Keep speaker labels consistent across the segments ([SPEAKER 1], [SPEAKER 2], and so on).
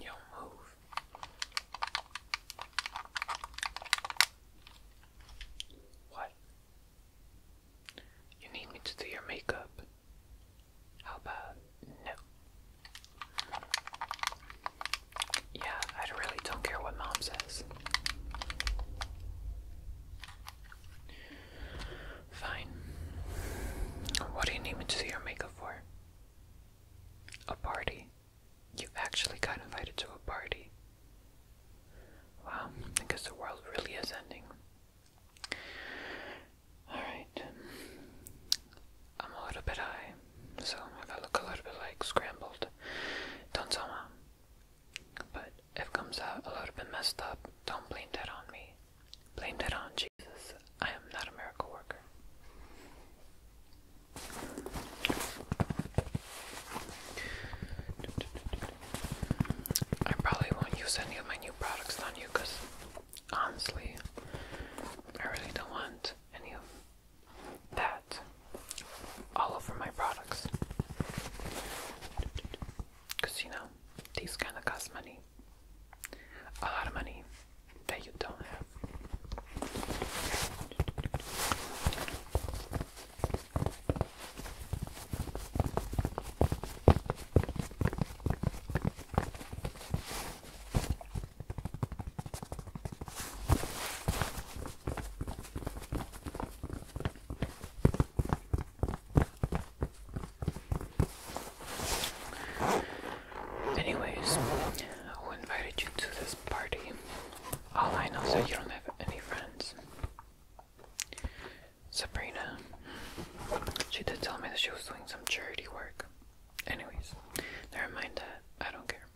[SPEAKER 1] You move. What? You need me to do your makeup? How about no? Yeah, I really don't care what mom says. Fine. What do you need me to do your makeup for? A party? You actually got invited to a party. Wow, I guess the world really is ending. Alright. I'm a little bit high, so I look a little bit like scrambled, don't tell mom. But if comes out a little bit messed up, don't blame that on me. Blame that on Jesus. I am not a miracle worker. I probably won't use any of my new products on you because honestly, I really don't want any of that all over my products because you know these kind of cost money, a lot of money that you don't have. Anyways, who invited you to this party? All I know is that you don't have any friends. Sabrina. She did tell me that she was doing some charity work. Anyways, never mind that. I don't care.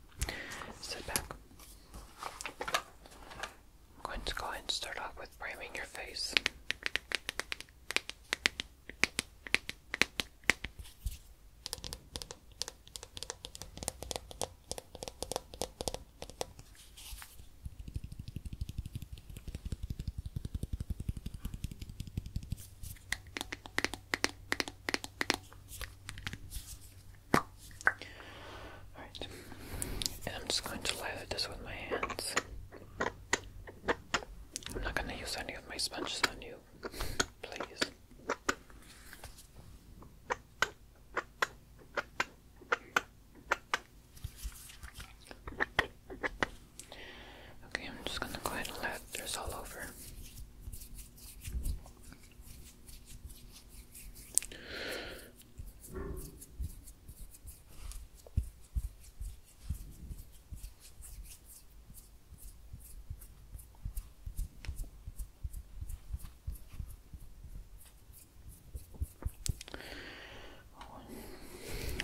[SPEAKER 1] Sit back. I'm going to go and start off with priming your face. Alright, and I'm just going to lather this with my hands. I'm not gonna use any of my sponges on you. Please. Okay, I'm just gonna go ahead and let this all over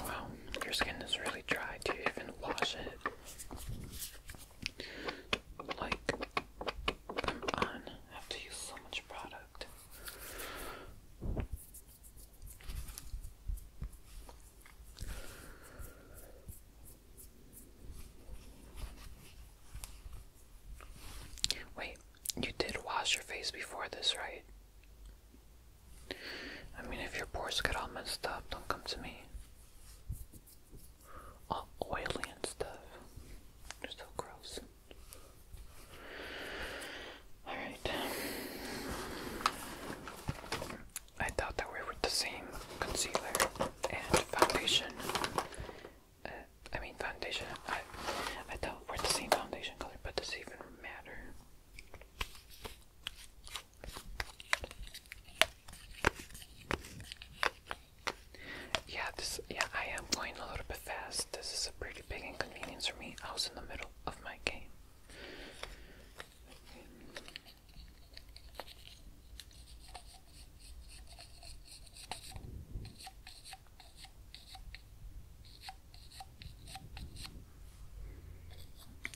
[SPEAKER 1] wow, your skin is really dry. Do even wash it? Like, come on, have to use so much product. Wait, you did wash your face before this, right? I mean, if your pores get all messed up, don't come to me. All oily and stuff. You're so gross. Alright. I thought that we were with the same concealer and foundation. Uh, I mean foundation. I I thought we're the same foundation color, but does it even matter? Yeah, this yeah, I am going a little bit fast. This is a pretty big inconvenience for me. I was in the middle of my game.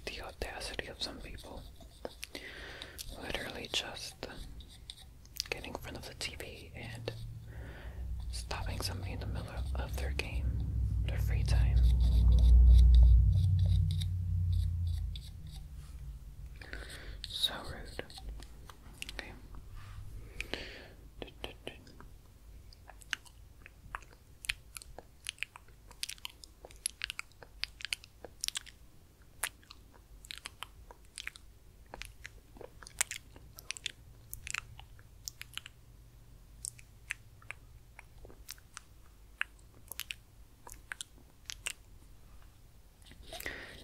[SPEAKER 1] The audacity of some people. Literally just getting in front of the TV and stopping something in the middle of their game, their free time. So rude. Okay.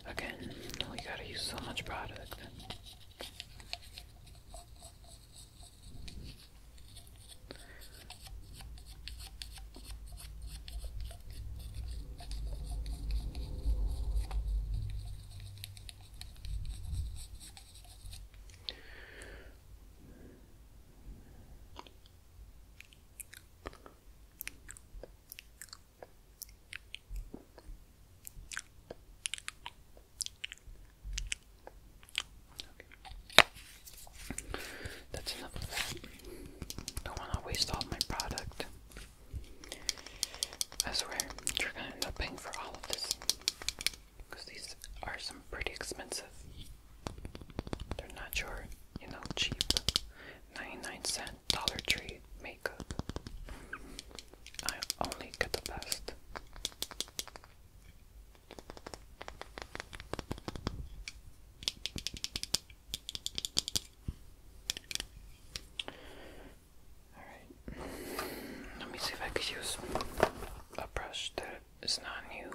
[SPEAKER 1] Again, we gotta use so much product. That's enough of that. Don't want to waste all my product. I swear, you're gonna end up paying for all of this because these are some pretty expensive. They're not your, you know, cheap 99 cent Dollar Tree makeup. I only get the best. Alright, let me see if I could use a brush that it's not new.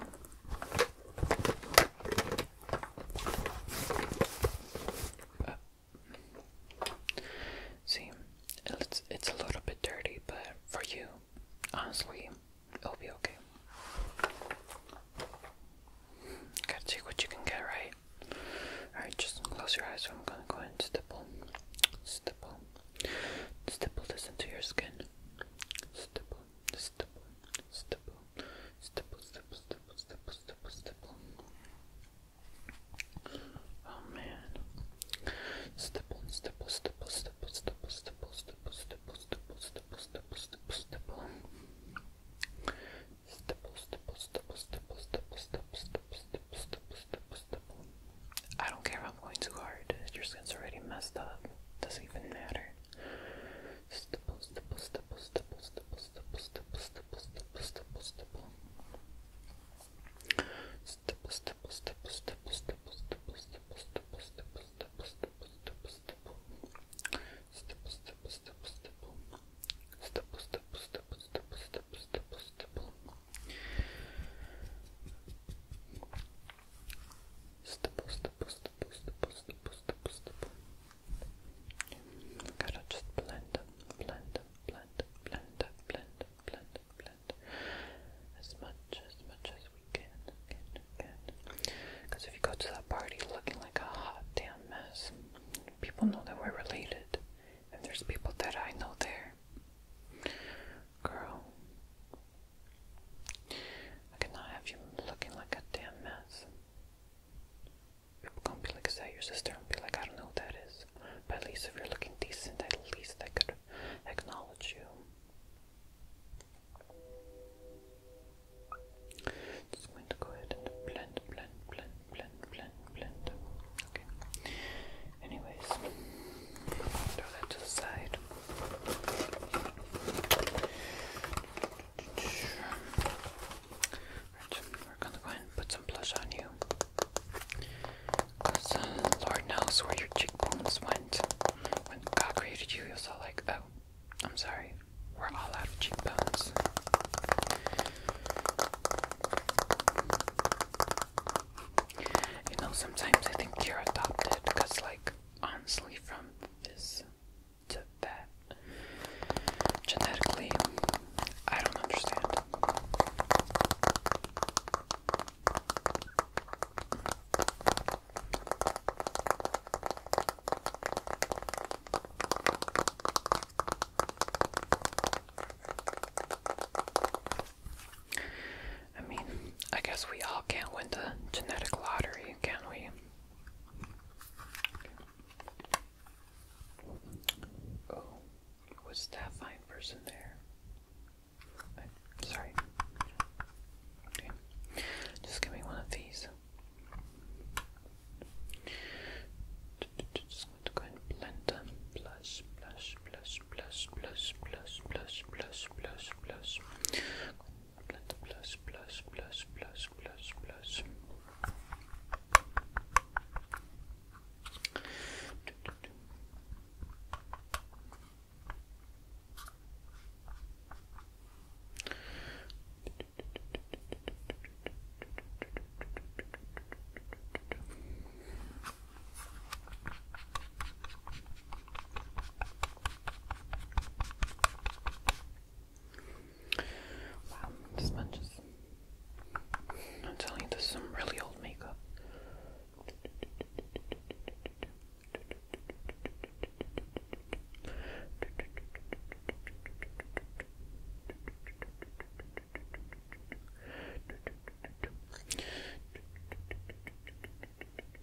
[SPEAKER 1] see, it's it's a little bit dirty, but for you, honestly, it'll be okay. Gotta see what you can get right. Alright, just close your eyes. I'm gonna go and stipple, stipple, stipple this into your skin. Stipple, stipple, stipple, stipple, stipple, stipple, stipple, stipple, stipple. Oh man. Stipple, stipple, stipple, stipple, stipple, stipple, stipple, stipple, stipple, stipple, stipple, stipple, stipple. Stipple, stipple, stipple, stipple, stipple, stipple, stipple, stipple, stipple, stipple, stipple. I don't care if I'm going too hard. Your skin's already messed up. Doesn't even matter. Stipple, stipple, stipple, stipple, stipple, stipple, stipple. Gotta just blend them, blend them, blend them, blend them, blend them, blend them, blend them. As much, as much as we can, can, can. Because if you go to that party looking like a hot damn mess, people know that we're related. And there's people that I know there. Girl, I cannot have you looking like a damn mess. People going be like, is your sister? And be like, I don't know who that is. But at least if you're looking decent, at least I could acknowledge you. Just going to go ahead and blend, blend, blend, blend, blend, blend. Okay. Anyways, throw that to the side. Right, we gonna go ahead and put some blush on you. Uh, Lord knows where your cheekbones went. When God created you, you was like, oh, I'm sorry, we're all out of cheekbones. You know, sometimes I think you're adopted because, like, honestly from this to that. Genetically, I don't understand. I mean, I guess we all can't win the genetic lottery, can we? Oh, was that fine person there? sorry. Just give me one of these. Just going to go and blend them. Blush, blush, blush, blush, blush, blush, blush, blush, blush, blush plus, plus, plus, plus, plus, plus. Do, do, do. Wow, this I'm telling you, this is some really old makeup.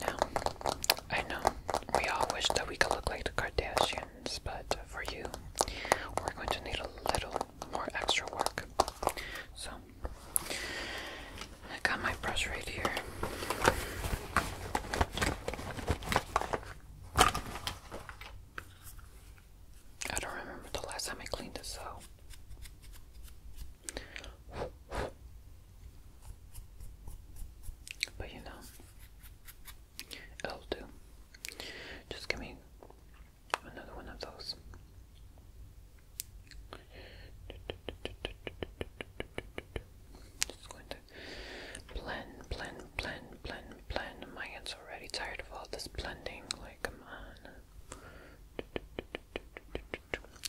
[SPEAKER 1] Now, I know we all wish that we could look like the Kardashians, but for you, we're going to need a little more extra work. So, I got my brush right here. I don't remember the last time I cleaned this out. But you know, it'll do. Just give me another one of those. Just going to blend, blend, blend, blend, blend. My hands already tired of all this blending. Like, come on.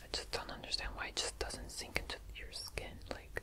[SPEAKER 1] I just don't understand why it just doesn't sink into your skin. Like,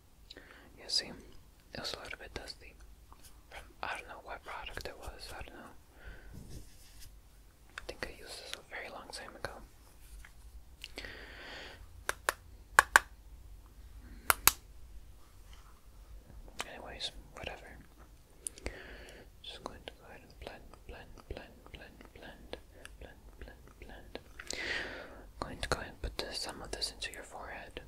[SPEAKER 1] You see, it was a little bit dusty. From, I don't know what product it was, I don't know. I think I used this a very long time ago. Anyways, whatever. Just going to go ahead and blend, blend, blend, blend, blend, blend, blend, I'm going to go ahead and put some of this into your forehead.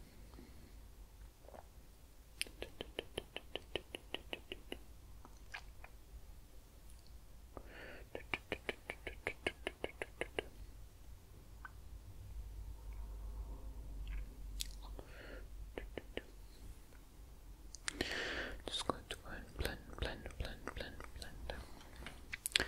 [SPEAKER 1] Just going to go ahead and blend, blend, blend, blend, blend.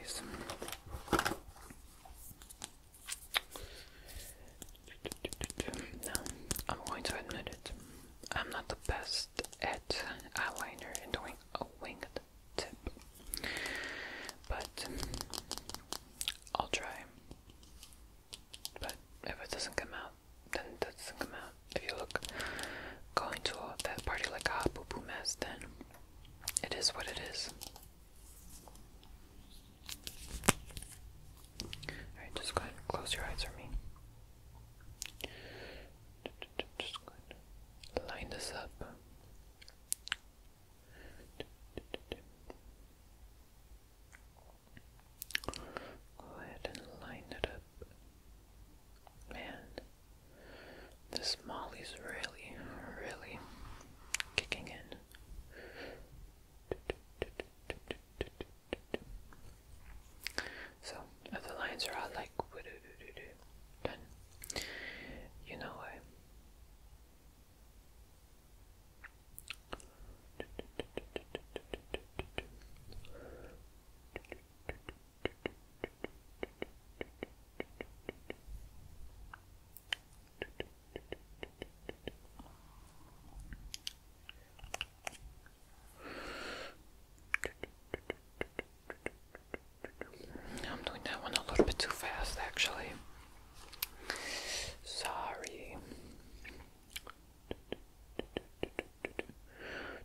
[SPEAKER 1] guys. I'm going to admit it. I'm not the best at eyeliner and doing a winged tip. But I'll try. But if it doesn't come out, then it doesn't come out. If you look going to that party like a hot mess, then it is what it is. Alright, just go ahead and close your eyes for me. Just go ahead and line this up. Go ahead and line it up. Man, this Molly's really, really kicking in. So, the lines are all like, then you know what? I'm doing that one a little bit too fast, actually. Sorry.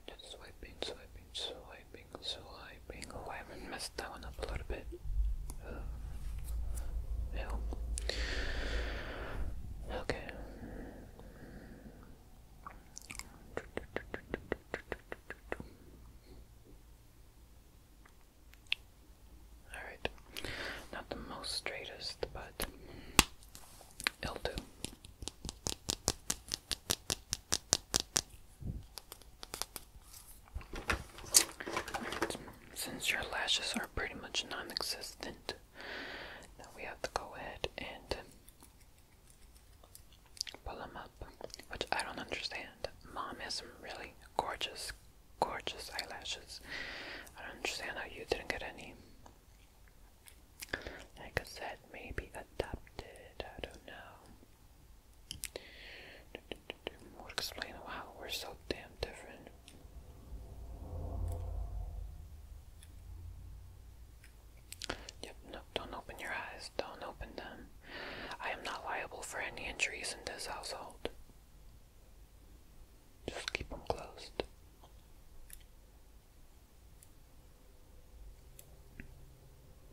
[SPEAKER 1] Just swiping, swiping, swiping swiping, swiping. Oh, I haven't messed that one up a little bit. Uh, help. Okay. Alright. Not the most straightest, but it'll do since your lashes are pretty much non existent, we have to go ahead and pull them up, which I don't understand. Mom has some really gorgeous, gorgeous eyelashes. I don't understand how you didn't get any. Like I said, maybe adopted, I don't know explain wow, we're so damn different. Yep, no, don't open your eyes. Don't open them. I am not liable for any injuries in this household. Just keep them closed.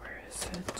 [SPEAKER 1] Where is it?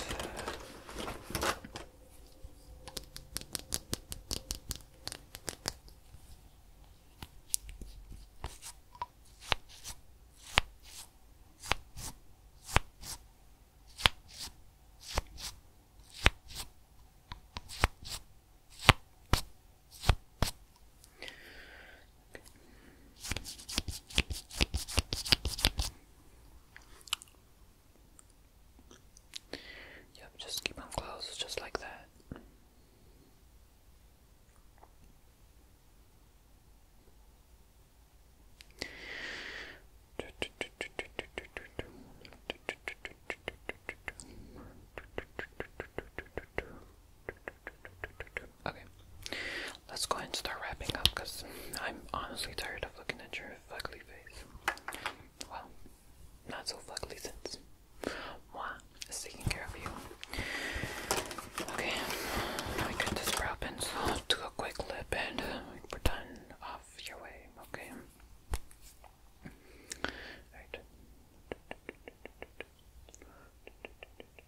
[SPEAKER 1] Yep, just keep them close, just like that. Okay. Let's go ahead and start wrapping up because I'm honestly tired of looking at your fugly face. Well, not so fugly since moi is taking care of you. Okay, I get this brow pencil, do a quick lip, and we're uh, done off your way, okay? Alright.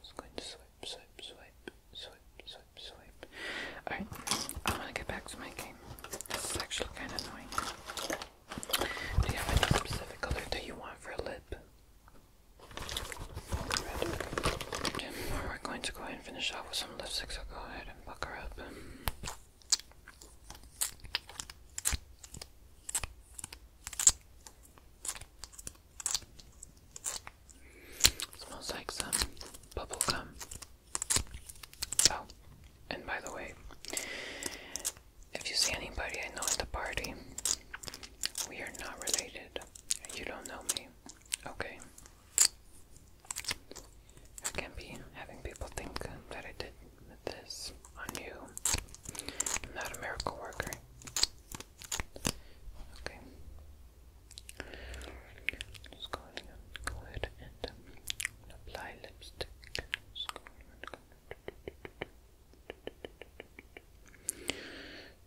[SPEAKER 1] Just going to swipe, swipe, swipe, swipe, swipe, swipe. Alright, I want to get back to my game. This is actually kind of annoying. Do you have any specific color that you want for a lip? Red. Now we're going to go ahead and finish off with some lipsticks. I'll go ahead and buck her up. Smells like some bubble gum. Oh, and by the way, if you see anybody I know at the party, we are not related. You don't know me. Okay. I can be having people think that I did this on you. not a miracle worker. Okay. Just go ahead go ahead and apply lipstick.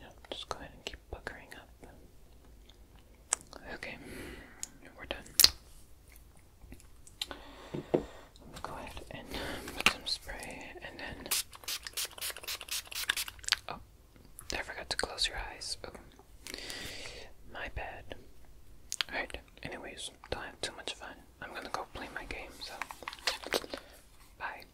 [SPEAKER 1] Yeah, just go ahead and keep puckering up. Okay, we're done. I'm go ahead and put some spray and then. Oh, I forgot to close your eyes. Oh, my bad. Alright, anyways, don't have too much fun. I'm gonna go play my game, so. Bye.